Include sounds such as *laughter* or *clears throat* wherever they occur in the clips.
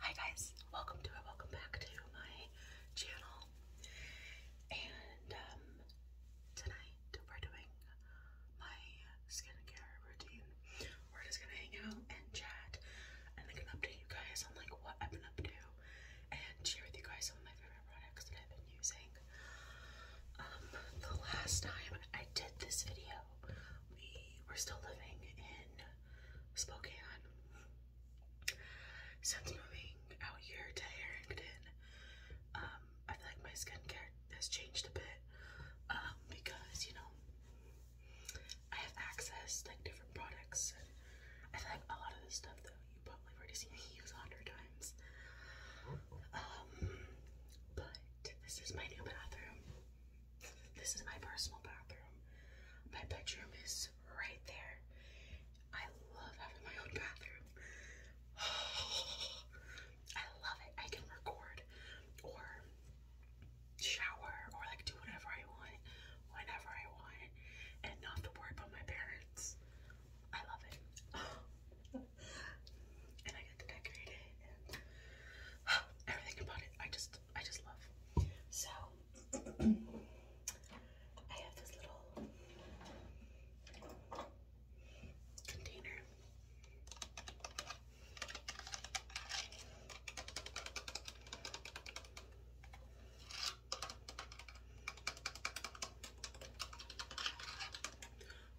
Hi, guys, welcome to it, welcome back to my channel. And um, tonight we're doing my skincare routine. We're just gonna hang out and chat and I can update you guys on like what I've been up to and share with you guys some of my favorite products that I've been using. Um, the last time I did this video, we were still living in Spokane. Since moving out here to Harrington, um, I feel like my skincare has changed a bit um, because, you know, I have access to like, different products. And I feel like a lot of the stuff that you probably already seen me a hundred times. Um, but this is my new bathroom. This is my personal bathroom. My bedroom is right there. I love having my own bathroom. *sighs* I love it. I can record or shower or like do whatever I want, whenever I want, and not have to worry about my parents. I love it. *gasps* and I get to decorate it and oh, *gasps* everything about it. I just I just love. So *clears throat* I have this little container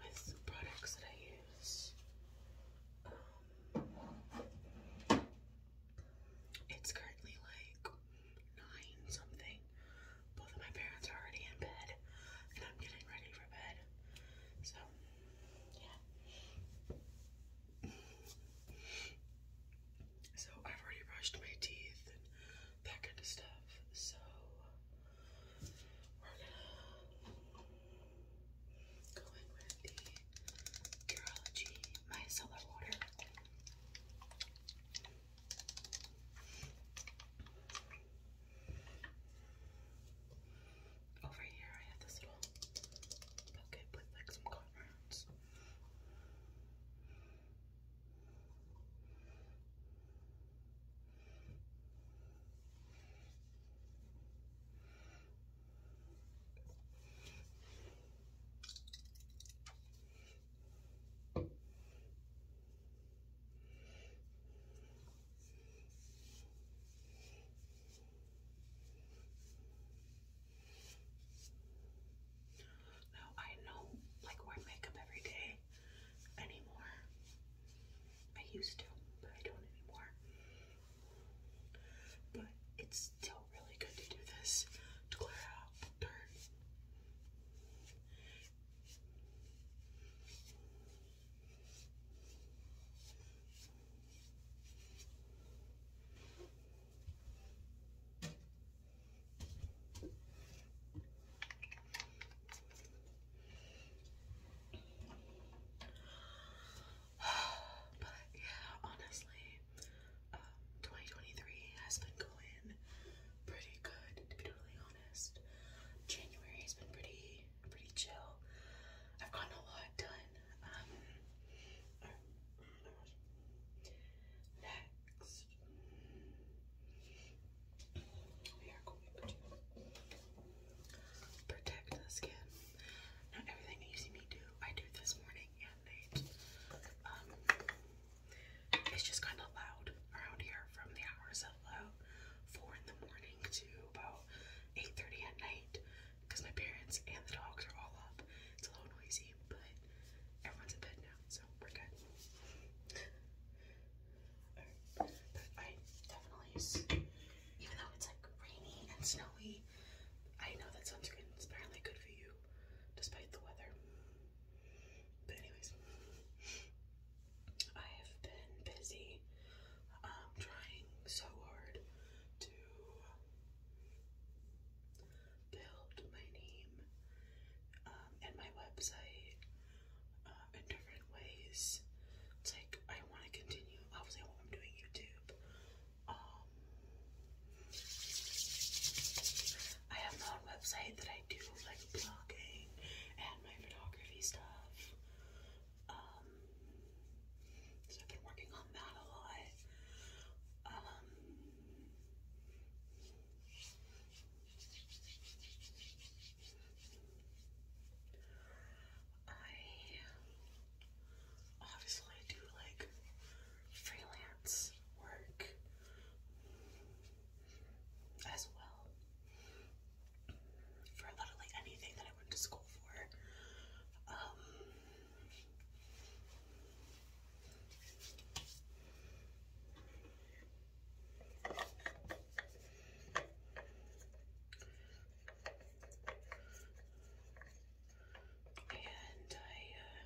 with products that I use. Um, it's currently like nine something. Both of my parents are already in bed, and I'm getting ready for bed. So, yeah. So I've already brushed my teeth that kind of stuff. So we're gonna go in with the Curology Micellar Water. Over here, I have this little bucket with like some cotton rounds. Now I know like wear makeup every day anymore. I used to, but I don't anymore. But it's still really good to do this to clear out dirt. *sighs* But yeah, honestly, um, 2023 has been going pretty good, to be totally honest. January has been pretty, pretty chill. I've gotten a lot done. Um, oh Next, we are going to protect the skin. Not everything you see me do, I do this morning and um, it's just kind of loud around here from the hours of about uh, four in the morning to about 8:30 at night because my parents and the dogs are all up. It's a little noisy, but everyone's in bed now, we're good. But I definitely, even though it's like rainy and snowy, I know that sunscreen is apparently good for you, despite the weather. But anyways, I have been busy um, trying so hard to build my name um, and my website uh, in different ways. like I want to continue. Obviously, I'm doing YouTube. Um, I have my own website that I do like blogging and my photography stuff. Um, so I've been working on that a lot. Um, I obviously do like freelance work as well for literally anything that I went to school for. Um, and I uh,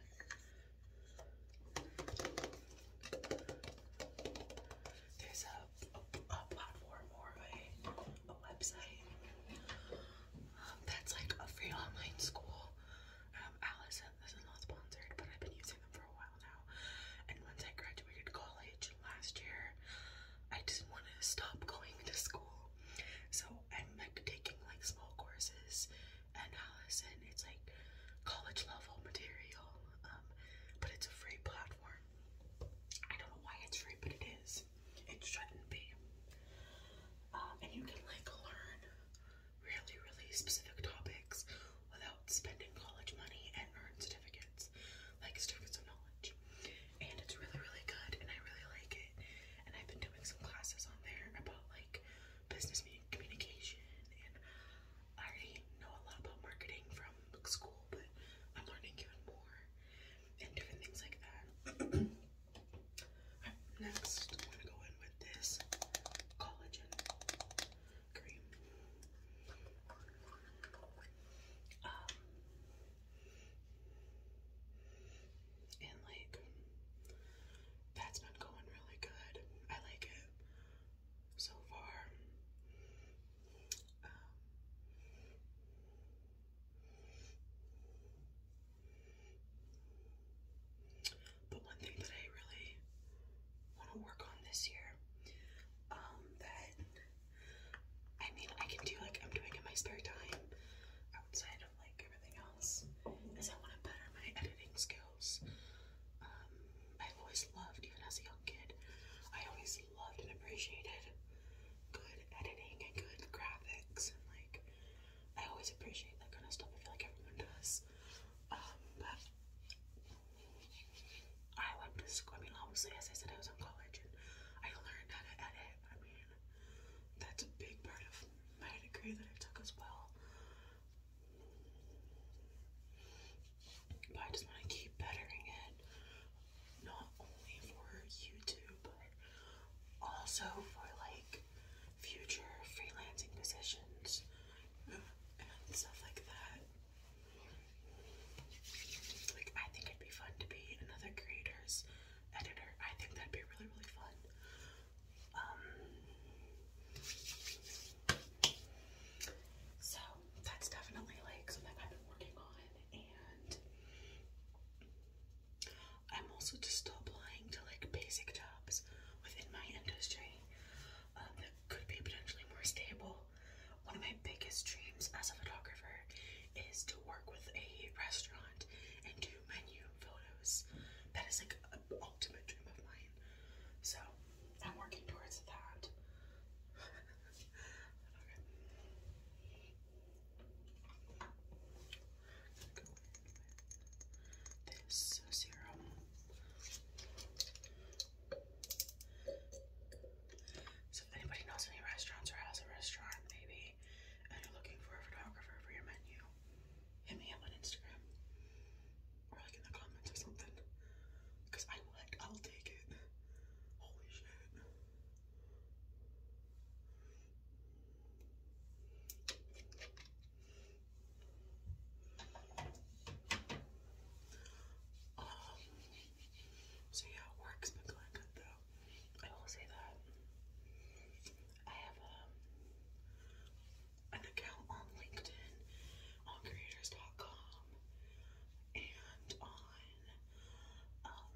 there's a, a, platform or a, a website um, that's like a free online school um, Allison. Uh, this is not sponsored, but I've been using them for a while now. And once I graduated college last year, I didn't want to stop going to school. So I'm like taking like small courses and Allison. It's like college level material, um, but it's a free platform. I don't know why it's free, but it is. It shouldn't be. Um, and you can like learn really, really specific topics without spending college money and earn certificates, like certificates of knowledge. And it's really, really good, and I really like it. And I've been doing some classes on there about like business communication, and I already know a lot about marketing from school, but I'm learning even more and different things like that. *clears throat* Alright, next, I'm gonna go in with this collagen cream. Um, and like, that's been going really good. I like it so far. Um, but one thing that I really want to work on this year, um, that I mean, I can do like I'm doing in my spare time outside of like everything else, is I want to better my editing skills. Um, I've always loved, even as a young kid, I always loved and appreciated good editing and good graphics, and like I always appreciate that kind of stuff. I feel like everyone does, um, but I went to school. I mean, as I said, I was in college and I learned how to edit. I mean, that's a big part of my degree that I took as well. But I just want to keep bettering it, not only for YouTube, but also for like future freelancing positions and stuff like that. Like, I think it'd be fun to be another creator's editor. I think that'd be really, really fun. Um, so that's definitely like something I've been working on, and I'm also just still applying to like basic jobs within my industry um, that could be potentially more stable. One of my biggest dreams as a photographer is to work with a restaurant and do menu photos. That is like an ultimate dream of mine. So I'm working towards that. *laughs* this serum. So if anybody knows any restaurants or has a restaurant, maybe, and you're looking for a photographer for your menu, hit me up on Instagram or like in the comments or something. Cause I would, I'll take it. Holy shit. Um, so yeah, work's been going good though. I will say that I have um, an account on LinkedIn, on creators.com, and on um,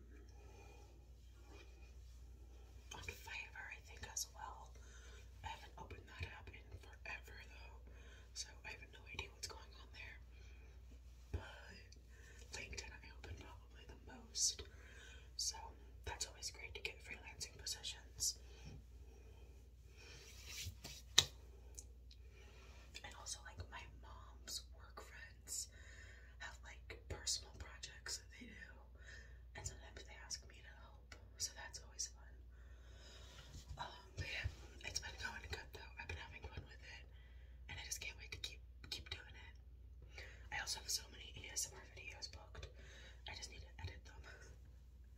on flavor, I think, as well. I haven't opened that up in forever, though, so I have no idea what's going on there. But LinkedIn, I open probably the most, so that's always great to get freelancing positions. And also, like, my mom's work friends have like personal projects that they do, and sometimes they ask me to help, so that's always fun. Um, but yeah, it's been going good though. I've been having fun with it, and I just can't wait to keep keep doing it. I also have so many ASMR videos booked. I just need to edit them.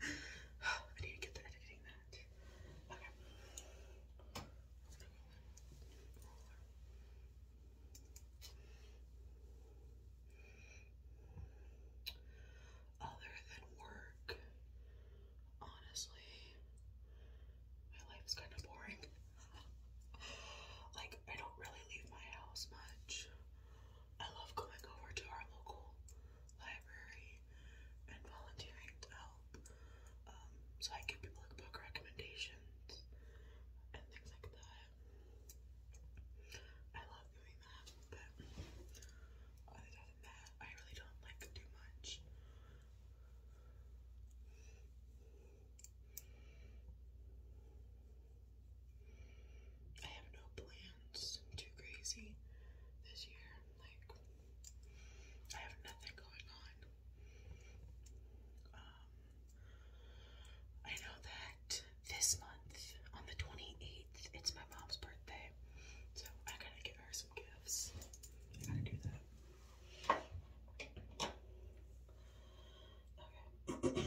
*sighs* I need to get to editing that. Okay. Other than work, honestly, my life's kind of boring. *laughs* like, I don't really leave my house much. I love going over to our local library and volunteering to help. Um, so I give people book recommendations and things like that. I love doing that, but other than that, I really don't like do much. I have no plans too crazy this year. Like, I have nothing going on. Um, I know that this month, on the 28th, it's my mom's birthday. So I gotta get her some gifts. I gotta do that. Okay. *clears throat* now,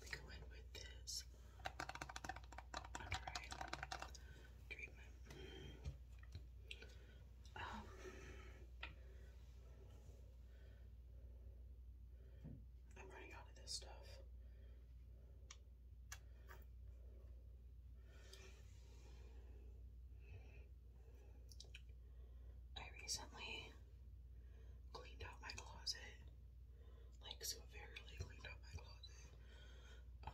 we go in with this treatment. Um, I'm running out of this stuff. I recently cleaned out my closet, like severely cleaned out my closet, um,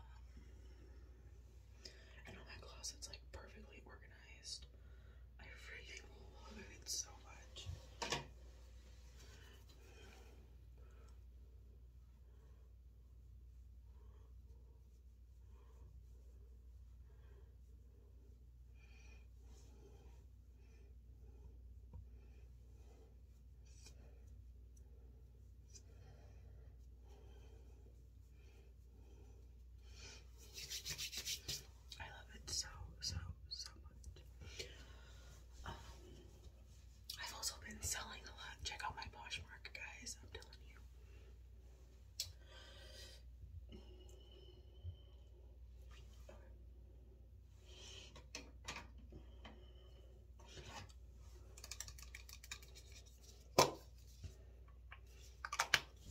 and all my closet's like perfectly organized. I freaking love it so much. I love it so, so, so much. Um, I've also been selling a lot. Check out my Poshmark, guys. I'm telling you.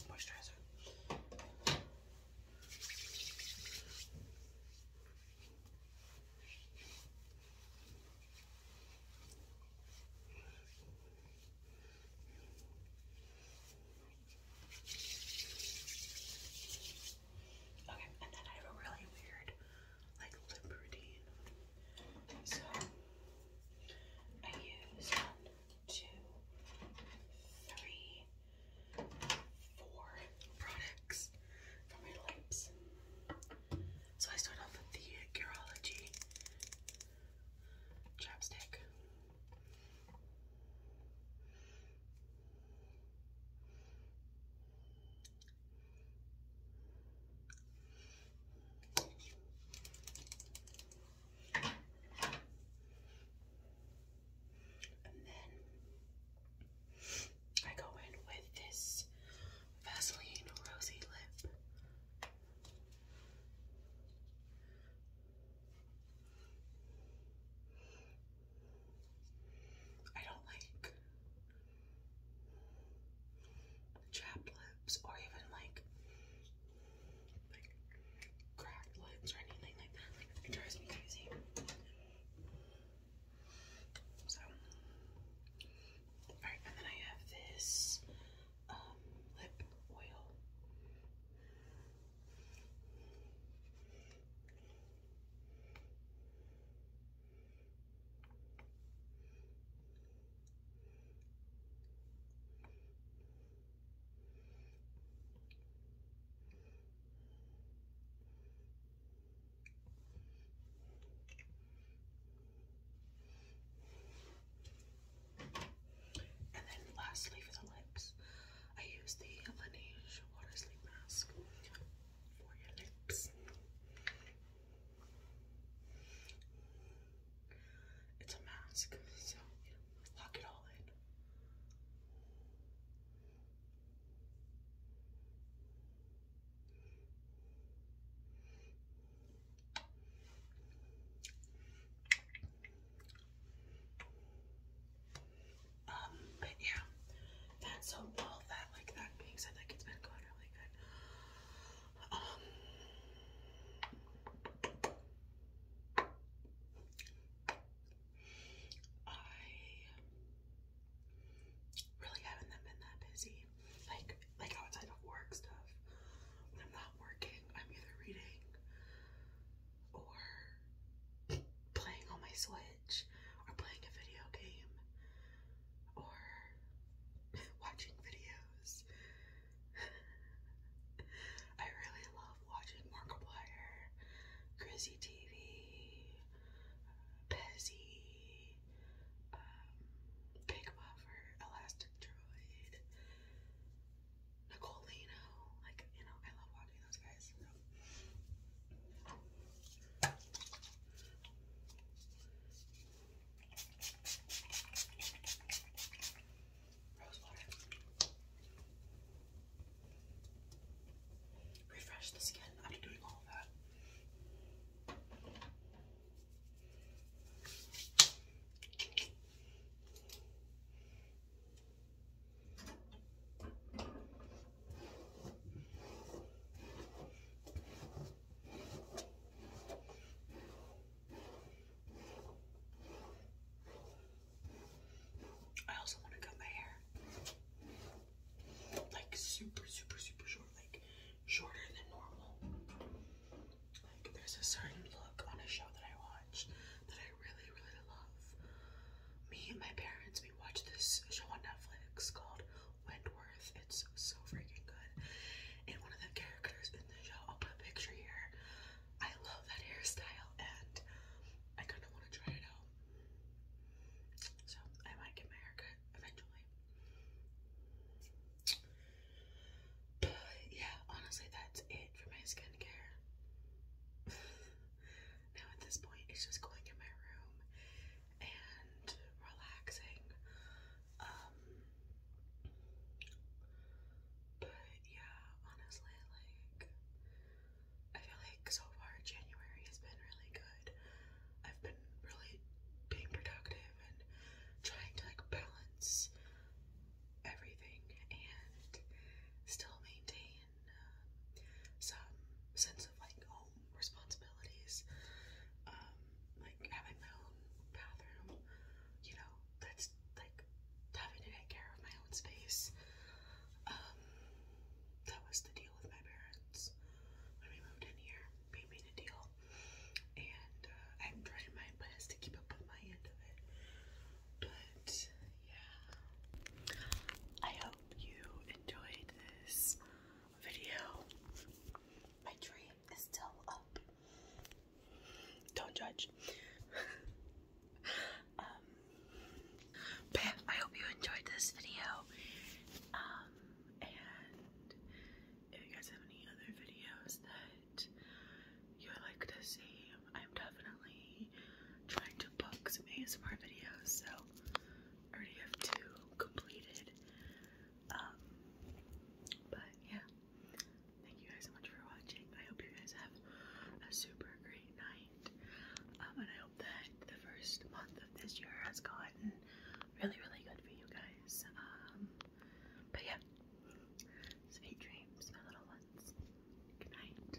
Moisturizer. Okay, and then I have a really weird like lip routine. So I use one, two, three, four products for my lips. So I start off with the Curology chapstick. And then I go in with this Vaseline Rosy Lip. I don't like chapped lips or even like, like cracked lips or anything like that. It drives me crazy. So, alright, and then I have this um, lip oil. And then lastly for the lips, I use the Laneige Water Sleep Mask for your lips. It's a mask, so you lock it all in. Um, but yeah, that. So all that, like that being said, like it's been going really good. Um, I really haven't been that busy, like like outside of work stuff. I'm not working, I'm either reading or playing on my Switch or playing a video game or *laughs* watching videos. *laughs* I really love watching Markiplier, Grizzy TV, Pezzy, um, Big Buffer, Nicolino. Like, you know, I love watching those guys. Rose water. Refresh the skin after doing all of that. I also want to cut my hair like super, super, super short, like shorter than normal. Like, there's a certain look on a show that I watch that I really, really love. Me and my parents, we watched this show on Netflix called Wentworth. It's so freaking good. And one of the characters in the show, I'll put a picture here. I love that hairstyle and I kind of want to try it out. So I might get my haircut eventually. yeah, honestly, that's it for my skincare. *laughs* now at this point, it's just going in my room and relaxing. but yeah, honestly, like, I feel like so far January has been really good. I've been really being productive and trying to like balance everything and still maintain um, some sense of like home responsibilities, um, like having my own bathroom, you know, that's like having to take care of my own space. Um, that was the deal with my parents when we moved in here. They made a deal, and uh, I'm trying my best to keep up with my end of it. But yeah, I hope you enjoyed this video. My dream is still up. Don't judge. *laughs* um, but I hope you enjoyed this video. Um, and if you guys have any other videos that you would like to see, I'm definitely trying to book some ASMR videos. So already have two completed. Um, but yeah, thank you guys so much for watching. I hope you guys have a super great night. Um, and I hope that the first month of this year has gotten really, really good for you guys. Um, but yeah, sweet dreams, my little ones. Good night.